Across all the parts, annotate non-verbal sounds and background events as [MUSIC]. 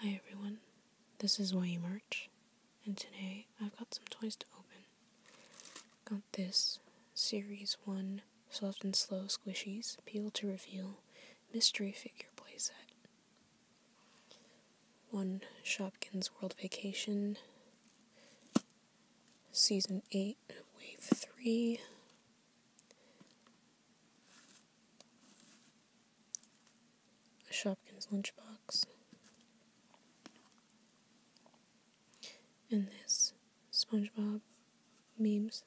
Hi everyone, this is YE Merch, and today I've got some toys to open. Got this Series 1 Soft and Slow Squishies Peel to Reveal Mystery Figure Playset. One Shopkins World Vacation, Season 8, Wave 3, a Shopkins lunchbox, and this SpongeBob memes,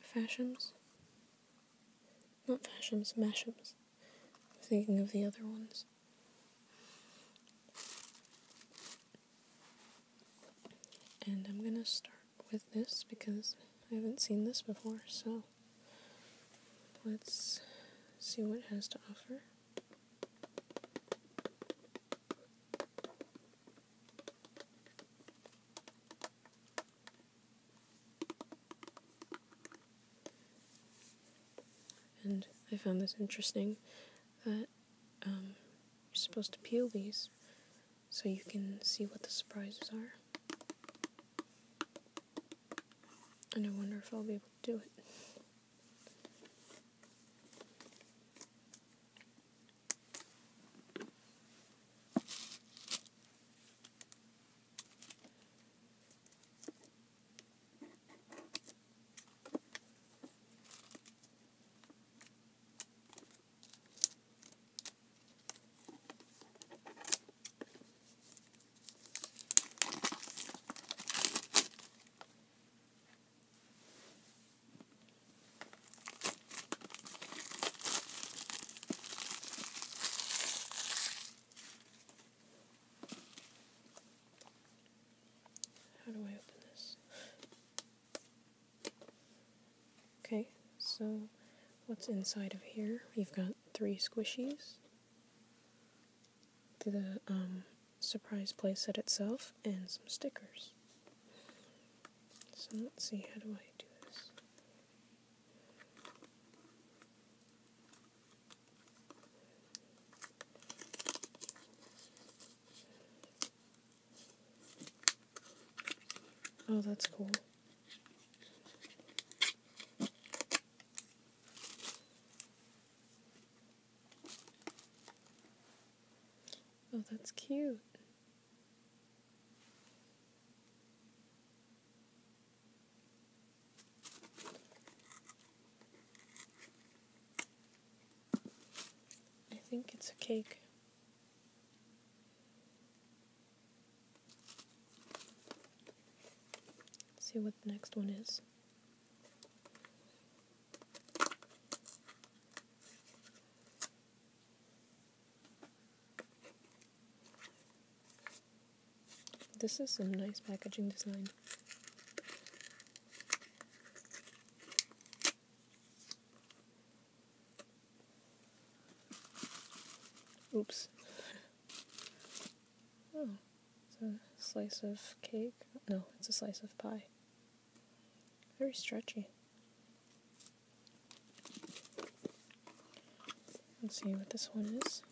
fashions, not fashions, mashems. I'm thinking of the other ones. And I'm going to start with this because I haven't seen this before, so let's see what it has to offer. And I found this interesting that um, you're supposed to peel these so you can see what the surprises are. And I wonder if I'll be able to do it. How do I open this? Okay, so what's inside of here? you have got three squishies, the um, surprise playset itself, and some stickers. So let's see, how do I do this? Oh, that's cool. Oh, that's cute. I think it's a cake see what the next one is. This is some nice packaging design. Oops. oh, it's a slice of cake. No, it's a slice of pie. Very stretchy. Let's see what this one is.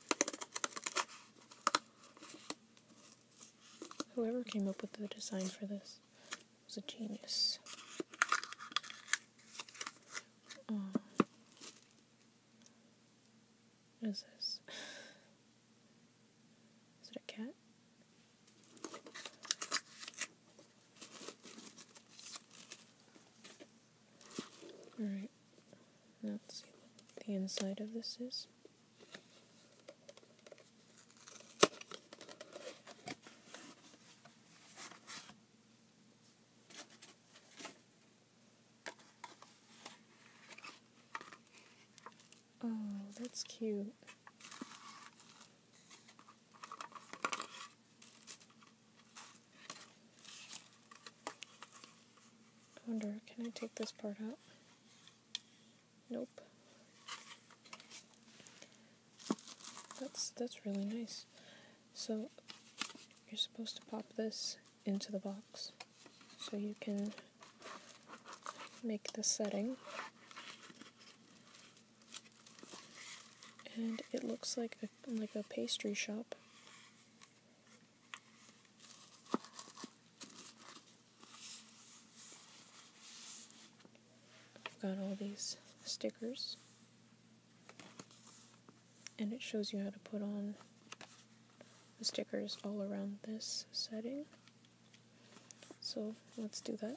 Whoever came up with the design for this was a genius. Mm. what is this? Is it a cat? Alright, let's see what the inside of this is. Oh, that's cute. I wonder, can I take this part out? Nope. That's that's really nice. So you're supposed to pop this into the box so you can make the setting. And it looks like like a pastry shop. I've got all these stickers and it shows you how to put on the stickers all around this setting. So let's do that.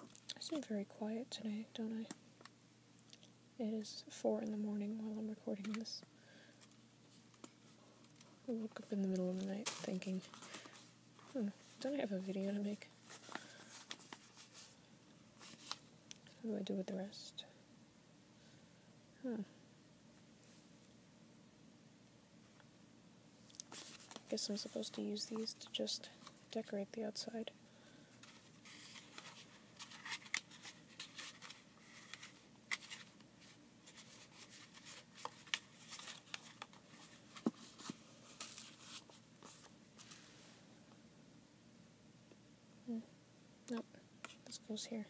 I seem very quiet today, don't I? It is 4 in the morning while I'm recording this. I woke up in the middle of the night thinking, hmm, don't I have a video to make? What do I do with the rest? Hmm. I guess I'm supposed to use these to just decorate the outside. Hmm. Nope, this goes here.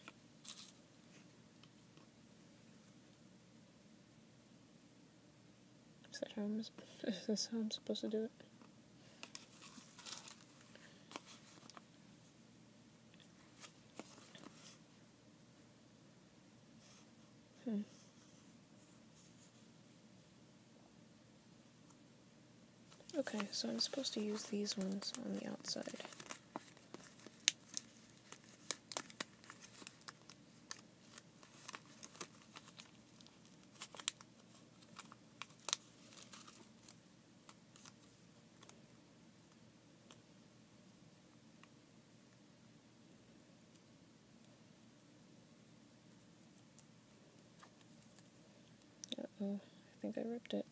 [LAUGHS] Is that how I'm, supposed to do it? Hmm. Okay, so I'm supposed to use these ones on the outside oh I think I ripped it.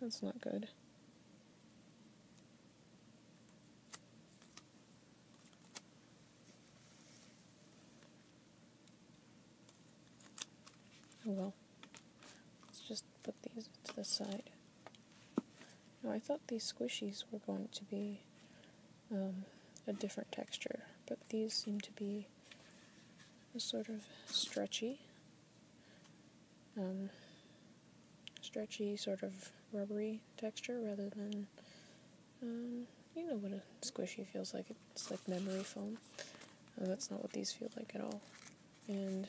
That's not good. Oh, well. Let's just put these to the side. Now I thought these squishies were going to be um, a different texture, but these seem to be a sort of stretchy. Um, stretchy, sort of rubbery texture rather than, um, you know what a squishy feels like. It's like memory foam. Uh, that's not what these feel like at all. And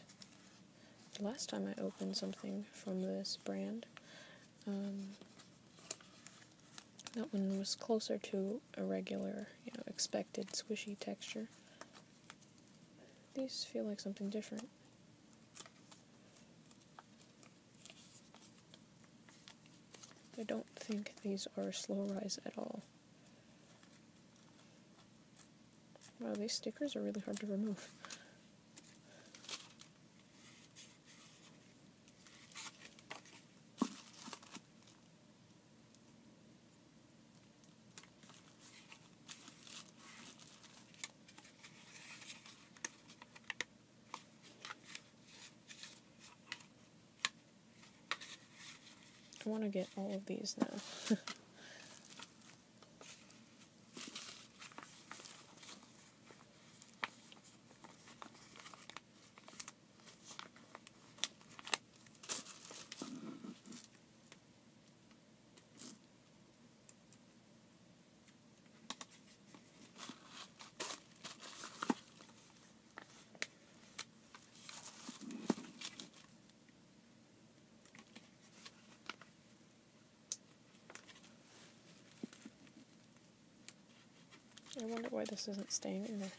the last time I opened something from this brand, um, that one was closer to a regular, you know, expected squishy texture. These feel like something different. I don't think these are slow rise at all. Wow, these stickers are really hard to remove. I want to get all of these now. I wonder why this isn't staying in there.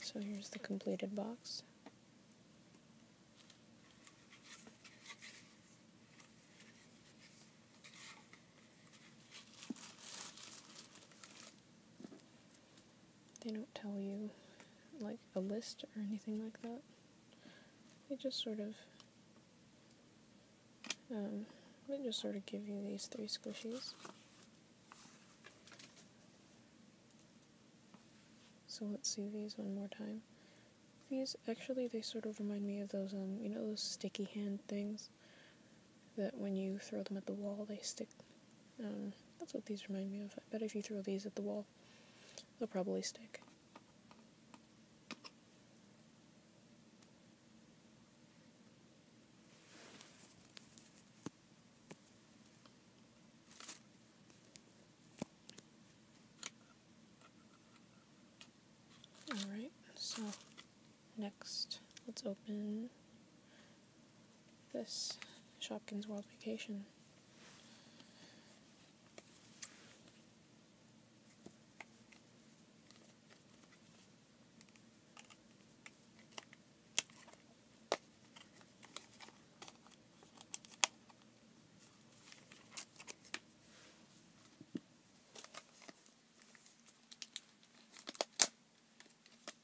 So here's the completed box they don't tell you like a list or anything like that. They just sort of um, they just sort of give you these three squishies. So let's see these one more time. These actually they sort of remind me of those um you know those sticky hand things that when you throw them at the wall, they stick. Um, that's what these remind me of. I bet if you throw these at the wall, they'll probably stick. Alright, so Next, let's open this Shopkins World Vacation.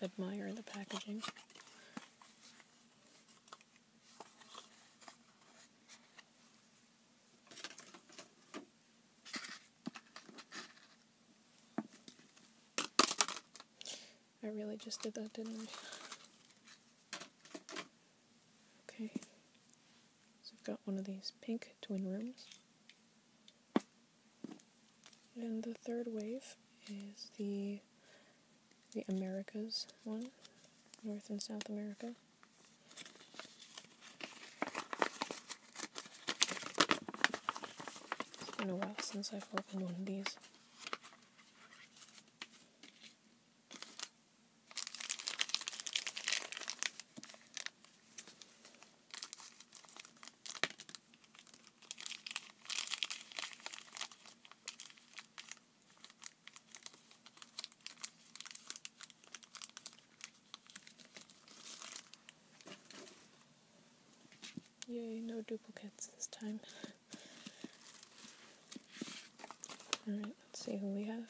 let admire the packaging. I really just did that, didn't I? Okay, so we have got one of these pink twin rooms. And the third wave is the the Americas one, North and South America. It's been a while since I've opened one of these. Yay, no duplicates this time. Alright, let's see who we have.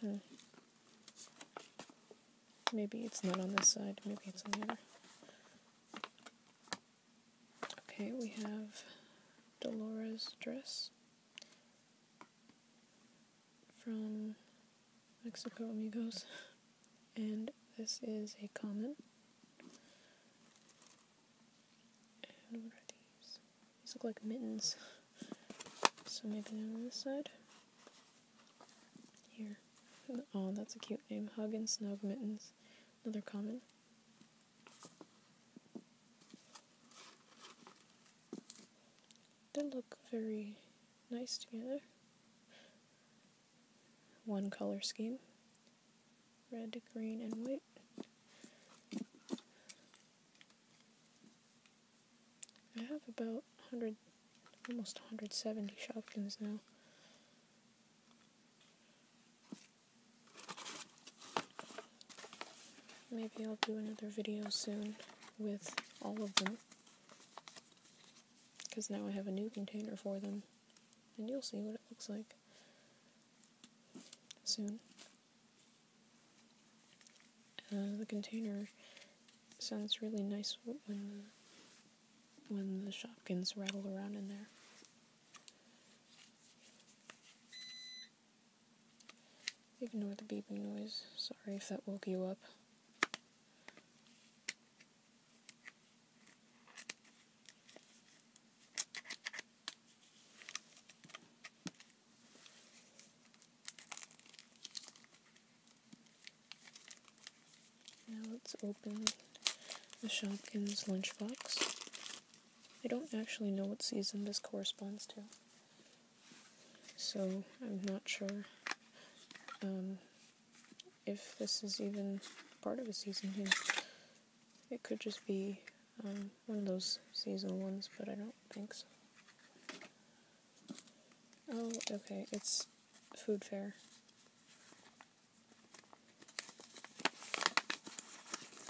Hmm. Maybe it's not on this side, maybe it's on the other. Okay, we have Dolores' dress from Mexico Amigos, [LAUGHS] and this is a common these? look like mittens. So maybe they on this side. Here. Oh, that's a cute name. Hug and Snug Mittens. Another comment. They look very nice together. One color scheme red, green, and white. I have about 100, almost 170 Shopkins now. Maybe I'll do another video soon with all of them. Because now I have a new container for them. And you'll see what it looks like soon. Uh, the container sounds really nice when the, when the shopkins rattle around in there. Ignore the beeping noise. Sorry if that woke you up. Now let's open the Shopkins lunchbox. I don't actually know what season this corresponds to, so I'm not sure um, if this is even part of a season here. It could just be um, one of those seasonal ones, but I don't think so. Oh, okay, it's food fair.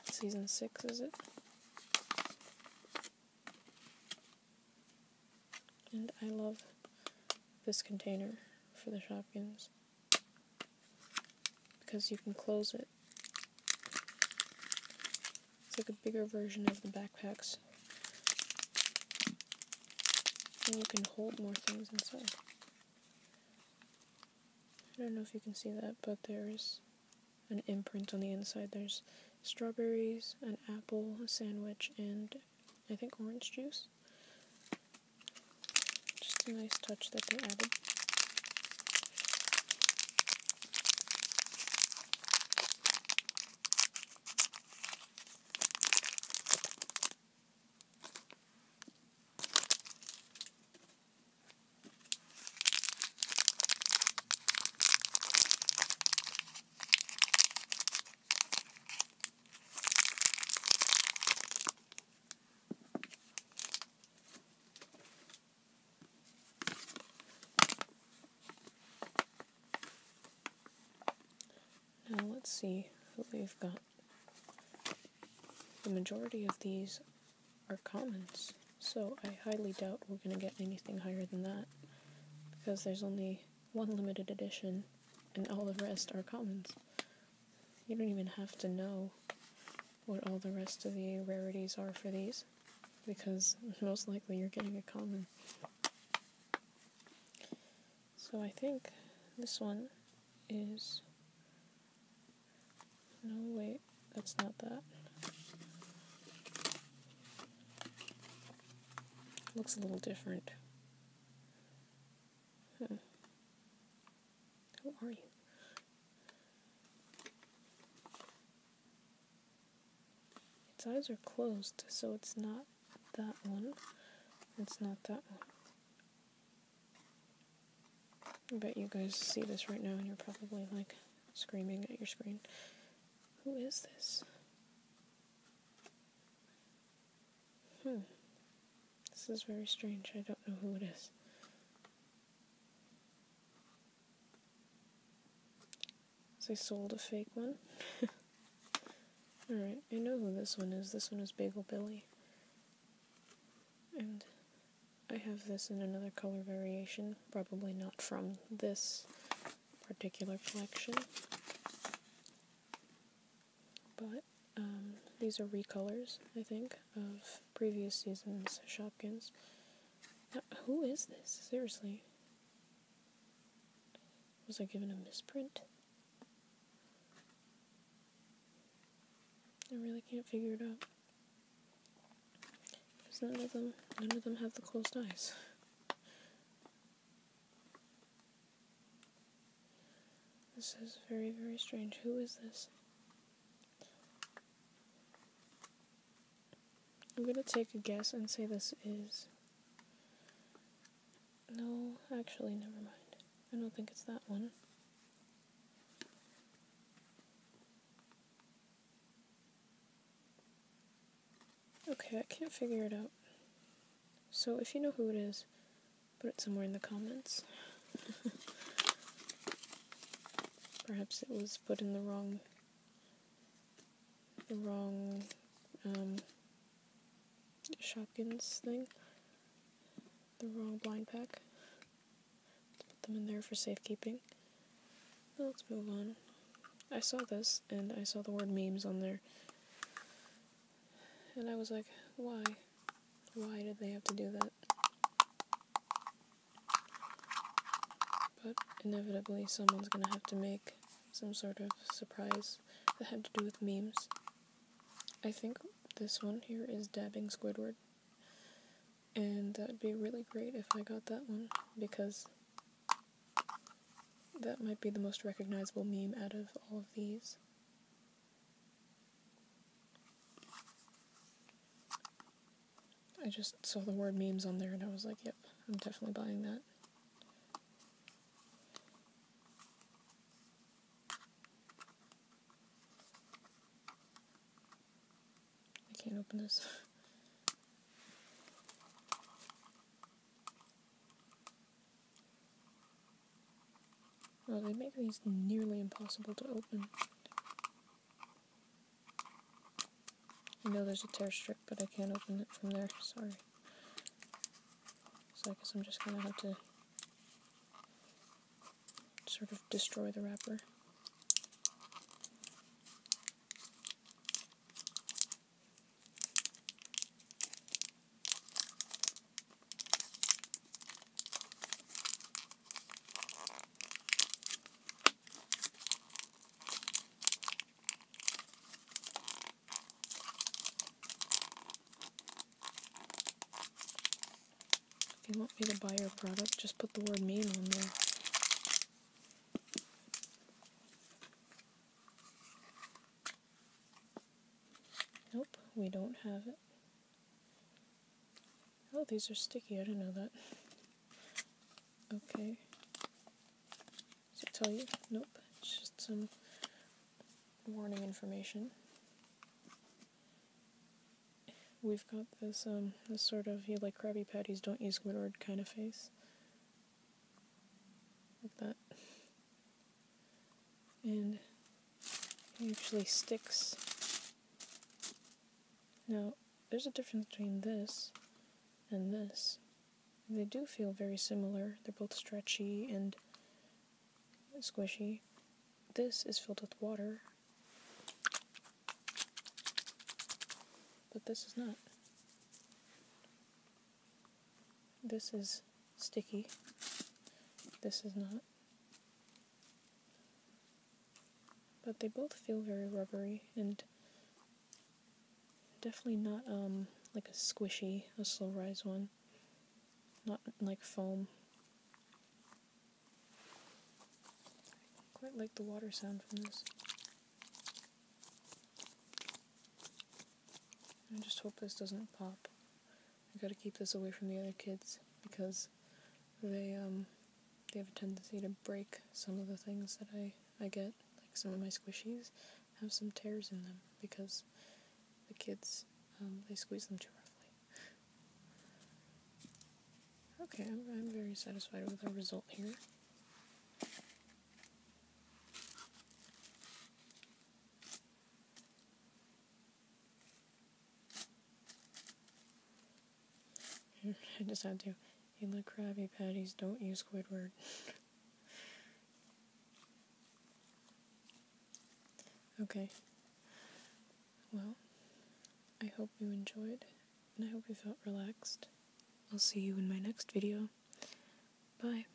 Season 6, is it? And I love this container for the shopkins because you can close it. It's like a bigger version of the backpacks. And you can hold more things inside. I don't know if you can see that, but there's an imprint on the inside. There's strawberries, an apple, a sandwich, and I think orange juice. Just a nice touch that they added. Now let's see what we've got. The majority of these are commons, so I highly doubt we're going to get anything higher than that because there's only one limited edition and all the rest are commons. You don't even have to know what all the rest of the rarities are for these, because most likely you're getting a common. So I think this one is. No, wait, that's not that. Looks a little different. Who are you? Its eyes are closed, so it's not that one. It's not that one. I bet you guys see this right now and you're probably like screaming at your screen. Who is this? Hmm. This is very strange. I don't know who it is. So I sold a fake one. [LAUGHS] Alright, I know who this one is. This one is Bagel Billy. And I have this in another color variation, probably not from this particular collection. But um, these are recolors, I think, of previous season's Shopkins. who is this? Seriously. Was I given a misprint? I really can't figure it out. none of them, none of them have the closed eyes. This is very, very strange. Who is this? I'm gonna take a guess and say this is. No, actually, never mind. I don't think it's that one. Okay, I can't figure it out. So if you know who it is, Put it somewhere in the comments. [LAUGHS] Perhaps it was put in the wrong, the wrong um, Shopkins thing, the wrong blind pack. Let's put them in there for safekeeping. Let's move on. I saw this, and I saw the word memes on there. And I was like, why? Why did they have to do that? But inevitably, someone's gonna have to make some sort of surprise that had to do with memes. I think this one here is Dabbing Squidward. And that'd be really great if I got that one because that might be the most recognizable meme out of all of these. I just saw the word memes on there and I was like, yep, I'm definitely buying that. I can't open this. [LAUGHS] Well, they make these nearly impossible to open. I know there's a tear strip, but I can't open it from there, sorry. So I guess I'm just gonna have to sort of destroy the wrapper. If you want me to buy your product, just put the word mean on there. Nope, we don't have it. Oh, these are sticky. I didn't know that. Okay. Does it tell you? Nope. just some warning information. We've got this um this sort of you like Krabby Patties, don't use Squidward kind of face. Like that and it usually sticks. Now, there's a difference between this and this. They do feel very similar. They're both stretchy and squishy. This is filled with water, but this is not. This is sticky. This is not. But they both feel very rubbery and definitely not um like a squishy, a slow rise one. Not like foam. quite like the water sound from this. I just hope this doesn't pop. I gotta keep this away from the other kids because they um, they have a tendency to break some of the things that I, I get. Like some of my squishies have some tears in them because the kids um, they squeeze them too roughly. Okay, I'm, I'm very satisfied with the result here. I [LAUGHS] just had to. You the Krabby Patties, don't use Squidward. [LAUGHS] okay. Well, I hope you enjoyed, and I hope you felt relaxed. I'll see you in my next video. Bye.